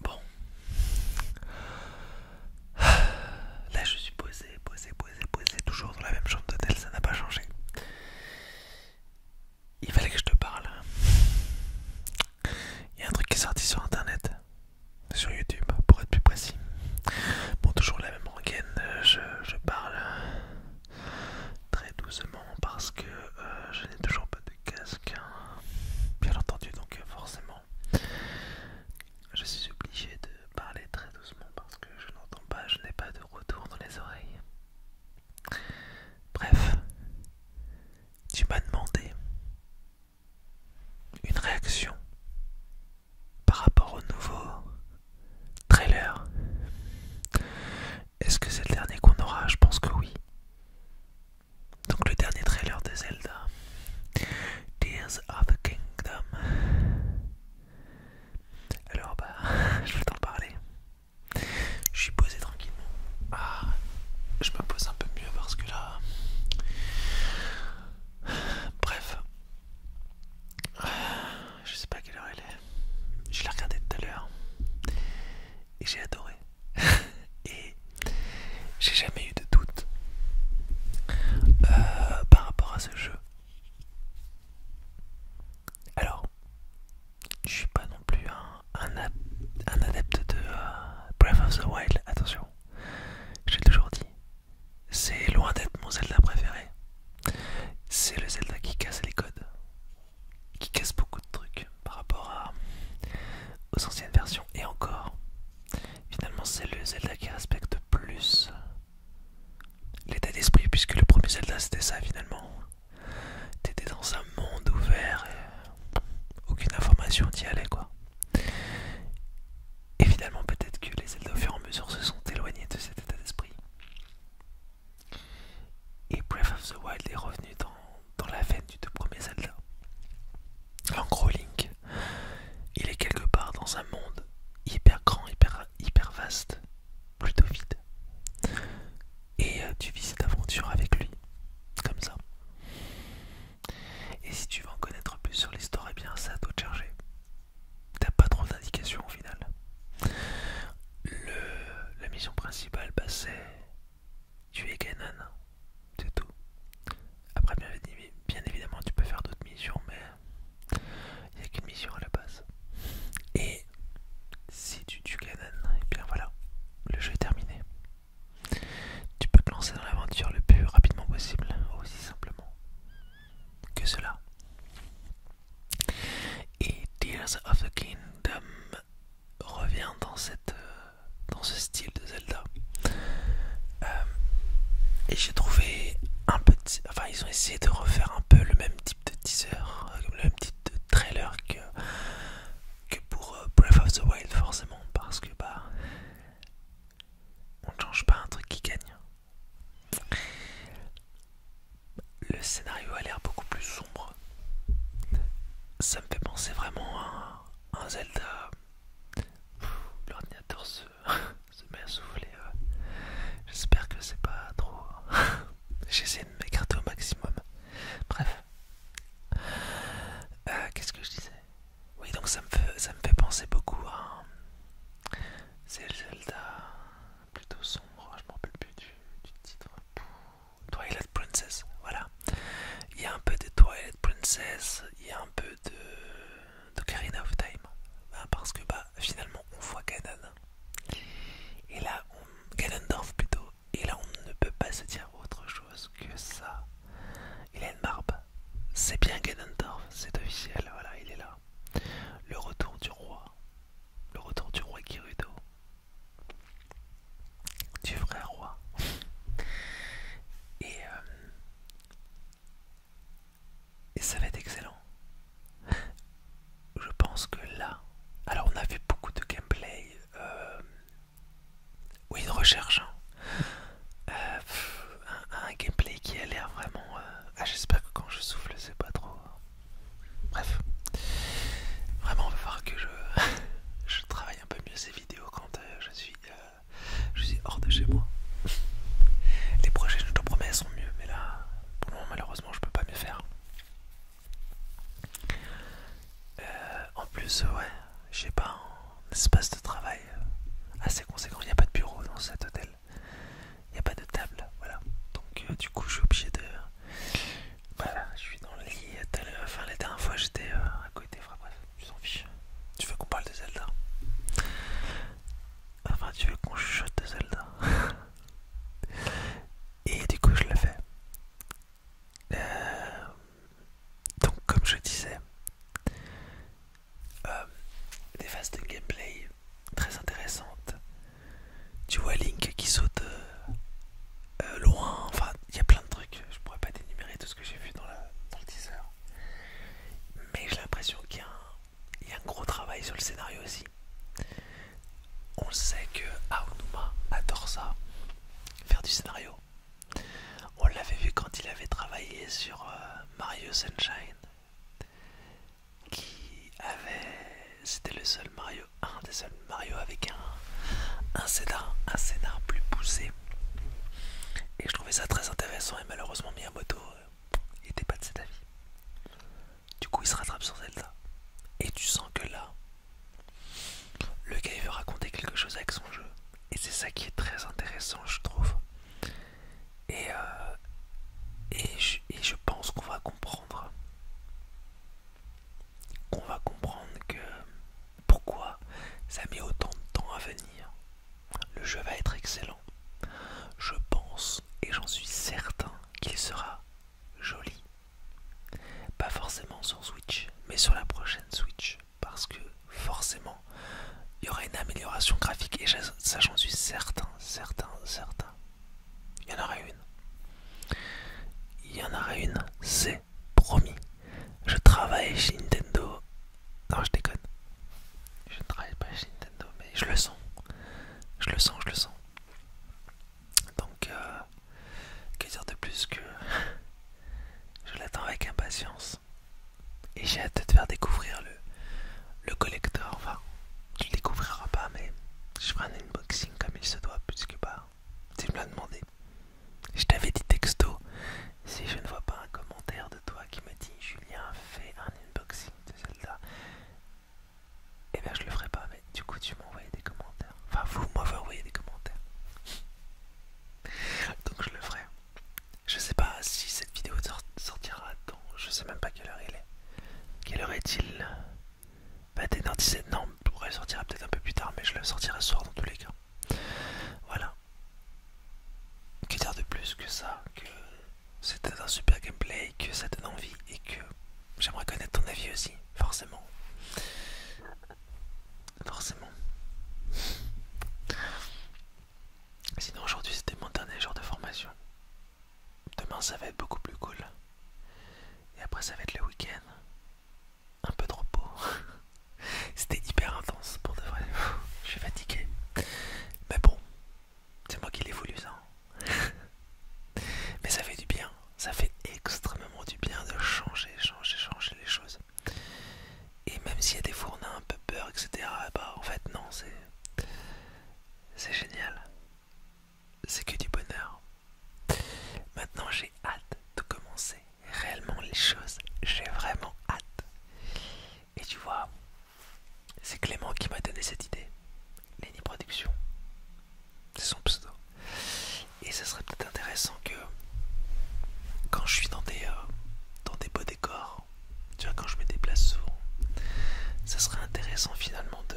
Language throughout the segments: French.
Bon. Là je suis posé, posé, posé, posé, toujours dans la même chambre d'hôtel, ça n'a pas changé. Il fallait que je te parle. Il y a un truc qui est sorti sur internet, sur YouTube pour être plus précis. Bon toujours la même rengaine, euh, je, je parle très doucement parce que euh, je n'ai toujours pas de casque, hein. bien entendu, donc euh, forcément, je suis obligé de parler très doucement parce que je n'entends pas, je n'ai pas de retour dans les oreilles. Bref, tu m'as demandé une réaction par rapport au nouveau trailer est-ce que c'est le dernier qu'on aura Je pense que oui. Donc le dernier trailer de Zelda. Tears of the Kingdom. Alors bah, je vais t'en parler. Je suis posé tranquillement. Ah, je me pose un peu mieux parce que là... Bref. Je sais pas quelle heure elle est. Je l'ai regardé tout à l'heure. Et j'ai adoré. et j'ai jamais eu de doute euh, par rapport à ce jeu. Alors, je suis pas non plus un, un, adepte de euh, Breath of the Wild, attention. J'ai toujours dit, c'est loin d'être mon Zelda préféré. C'est le Zelda qui casse les codes, qui casse beaucoup de trucs par rapport aux anciennes versions. Et encore, finalement, c'est le Zelda qui respecte plus l'état d'esprit, puisque le premier Zelda c'était ça finalement. T'étais dans un monde ouvert et aucune information t'y allait quoi. Et finalement, peut-être que les Zelda au fur et à mesure se sont éloignés de cet état d'esprit. Et Breath of the Wild est revenu dans, dans la veine du deux premier Zelda. En gros, Link, il est quelque part dans un monde hyper grand, hyper, hyper vaste, plutôt vide. Et euh, tu vis cette aventure avec lui, comme ça. Et si tu veux en connaître plus sur l'histoire, et eh bien ça à toi de charger t'as pas trop d'indications au final. la mission principale, bah, c'est tuer Ganon, c'est tout. Après, bien, évidemment, tu peux faire d'autres missions, mais il n'y a qu'une mission à la base. Et si tu tues Ganon, et eh bien voilà, le jeu est terminé. Tu peux te lancer dans l'aventure le plus rapidement possible, aussi simplement que cela. Et Tears of the Kingdom revient dans, cette, euh, dans ce style de Zelda. Euh, et j'ai trouvé un petit. Enfin, ils ont essayé de refaire un peu le même type de teaser, euh, le même type de trailer que, que pour Breath of the Wild, forcément, parce que bah. On ne change pas un truc qui gagne. Le scénario a l'air beaucoup plus sombre. Ça me fait penser vraiment à un Zelda. L'ordinateur se, met à souffler. Euh. J'espère que c'est pas trop. Hein. J'essaie de m'écarter au maximum. Bref. Euh, qu'est-ce que je disais oui, donc ça me fait, ça me fait penser beaucoup à. C'est Zelda plutôt sombre, je me rappelle plus du, titre. Twilight Princess, voilà. Il y a un peu de Twilight Princess, il y a un peu de, de Karina of Time. Hein, parce que bah, finalement, on voit Et là, on, Ganondorf plutôt. Et là, on ne peut pas se dire autre chose que ça. Il a une barbe, c'est bien Ganondorf, c'est officiel, voilà, il est là. Le retour du roi, le retour du roi Kirudo, du vrai roi. Euh, et, ça va être excellent. Je pense que là, alors on a fait beaucoup de gameplay, euh, oui, de recherche. Hein. Euh, un, gameplay qui a l'air vraiment... Euh, ah, j'espère que quand je souffle c'est pas trop... Hein. Bref. Vraiment on va voir que je, travaille un peu mieux ces vidéos quand euh, je, suis, euh, je suis hors de chez moi. Les projets je te promets sont mieux mais là pour le moment malheureusement je peux pas mieux faire. en plus ouais j'ai pas... Hein espace de travail euh, assez conséquent. Il n'y a pas de bureau dans cet hôtel. Il n'y a pas de table. Voilà. Donc euh, du coup je suis obligé de... Voilà, je suis dans le lit. Euh, enfin la dernière fois j'étais à côté. bref, tu fiche Tu veux qu'on parle de Zelda Enfin tu veux qu'on chuchote de Zelda Et du coup je le fais donc comme je disais euh, des phases de gameplay très intéressantes tu vois Link qui saute euh, euh, loin enfin il y a plein de trucs je pourrais pas dénumérer tout ce que j'ai vu dans, la, le teaser mais j'ai l'impression qu'il y, a un gros travail sur le scénario aussi on sait que Aonuma adore ça faire du scénario on l'avait vu quand il avait travaillé sur euh, Mario Sunshine, qui avait. C'était le seul Mario, un des seuls Mario avec un, un, scénar, un plus poussé. Et je trouvais ça très intéressant, et malheureusement, Miyamoto n'était euh, pas de cet avis. Du coup, il se rattrape sur Zelda. Et tu sens que là, le gars veut raconter quelque chose avec son jeu et c'est ça qui est très intéressant je trouve euh, et, je, pense qu'on va comprendre qu'on va comprendre que pourquoi ça met autant de temps à venir le jeu va être excellent je pense et j'en suis certain qu'il sera joli pas forcément sur Switch mais sur la prochaine Switch parce que forcément il y aura une amélioration graphique et ça j'en suis certain, certain, certain. Il y en aura une. Il y en aura une, c'est promis. Je travaille chez Nintendo. Non, je déconne. Je ne travaille pas chez Nintendo, mais je le sens. Je le sens, je le sens. Donc, euh, que dire de plus que je l'attends avec impatience et j'ai hâte de te faire découvrir le, le collector. Enfin, tu le découvriras pas, mais je ferai un unboxing comme il se doit, puisque bah, tu me l'as demandé. Je t'avais dit texto, si je ne vois pas un commentaire de toi qui me dit Julien, fait un unboxing de Zelda, et eh bien je le ferai pas, mais du coup tu m'envoyais des commentaires. Enfin, vous m'avez envoyé des commentaires. Donc je le ferai. Je sais pas si cette vidéo sortira dans... Je sais même pas quelle heure il est. Quelle heure est-il Bah t'es 17... Non, pourrait sortir peut-être un peu plus tard, mais je le sortirai ce soir dans tous les cas. Voilà. Que dire de plus que ça Que c'était un super gameplay, que ça donne envie et que j'aimerais connaître ton avis aussi, forcément. Forcément. Sinon aujourd'hui c'était mon dernier jour de formation. Demain ça va être beaucoup plus cool. Et après ça va être le week-end. Un peu de repos. c'était hyper intense pour de vrai. Je suis fatigué. Mais bon, c'est moi qui l'ai voulu ça. Mais ça fait du bien ça fait extrêmement du bien de changer, changer, changer les choses. Et même s'il y a des fois un peu peur, etc., bah en fait non, c'est. C'est génial. C'est que du bonheur. Maintenant j'ai hâte de commencer réellement les choses. J'ai vraiment hâte. Et tu vois, c'est Clément qui m'a donné cette idée. Lenny Productions c'est son pseudo. Et ça serait peut-être intéressant que quand je suis dans des, euh, dans des beaux décors, tu vois, quand je me déplace souvent, ça serait intéressant finalement de,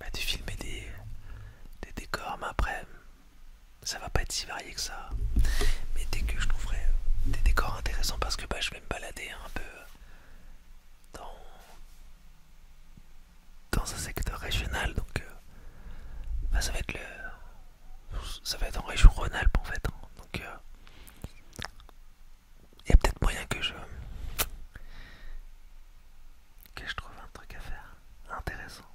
bah, de filmer des, des décors, mais après, ça va pas être si varié que ça. Mais dès que je trouverai des décors intéressants, parce que bah, je vais me balader un peu dans, un secteur régional, donc euh, bah, ça va être le, ça va être en région Rhône-Alpes en fait. Hein. donc euh, il y a peut-être moyen que je trouve un truc à faire intéressant.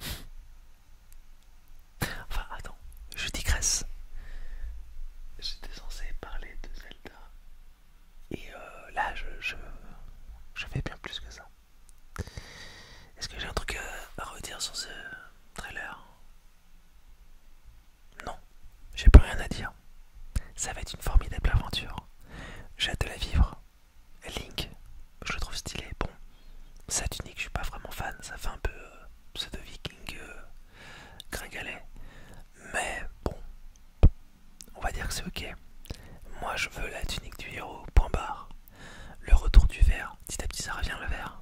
enfin attends, je digresse. J'étais censé parler de Zelda, et euh, là, je, fais bien plus que ça. Est-ce que j'ai un truc euh, à, redire sur ce trailer Non, j'ai plus rien à dire. Ça va être une formidable aventure. J'ai hâte de la vivre. Link, je le trouve stylé. Bon, sa tunique, je suis pas vraiment fan. Ça fait un peu euh, pseudo-viking gringalet. Mais bon, on va dire que c'est ok. Moi je veux la tunique du héros, point barre. Le retour du vert. petit à petit ça revient le vert.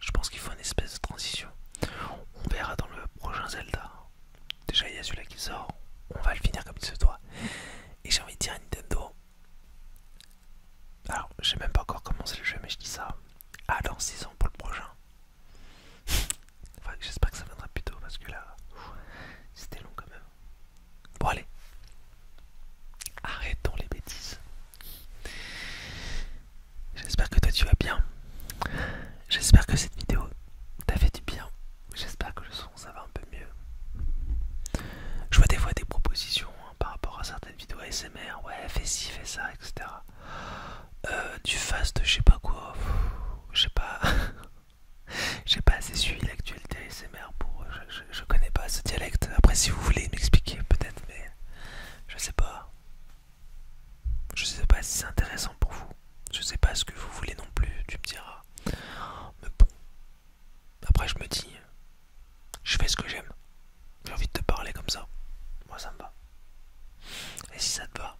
Je pense qu'il faut une espèce de transition. On verra dans le prochain Zelda. Déjà il y a celui-là qui sort, on va le finir comme il se doit. Et j'ai envie de dire à Nintendo. Alors, j'ai même pas encore commencé le jeu, mais je dis ça. Alors, dans 6 ans pour le prochain. J'espère que ça viendra plus tôt parce que là, c'était long quand même. Bon allez, arrêtons les bêtises. J'espère que toi tu vas bien. J'espère que cette vidéo t'a fait du bien. J'espère que le son ça va un peu mieux. Je vois des fois des propositions hein, par rapport à certaines vidéos ASMR. Ouais, fais ci, fais ça, etc. Euh, du fast, je sais pas quoi. Je sais pas. j'ai pas assez suivi l'actualité ASMR pour. Je, je, connais pas ce dialecte. Après, si vous voulez m'expliquer, peut-être, mais je sais pas. Je sais pas si c'est intéressant pour vous. Je sais pas ce que vous voulez non plus, tu me diras. Mais bon. Après, je me dis, je fais ce que j'aime. J'ai envie de te parler comme ça. Moi, ça me va. Et si ça te va,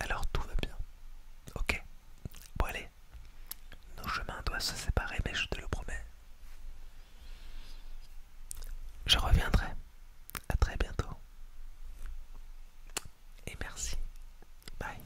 alors tout va bien. Ok. Bon, allez. Nos chemins doivent se séparer, mais je te le promets. Je reviendrai. À très bientôt. Et merci. Bye.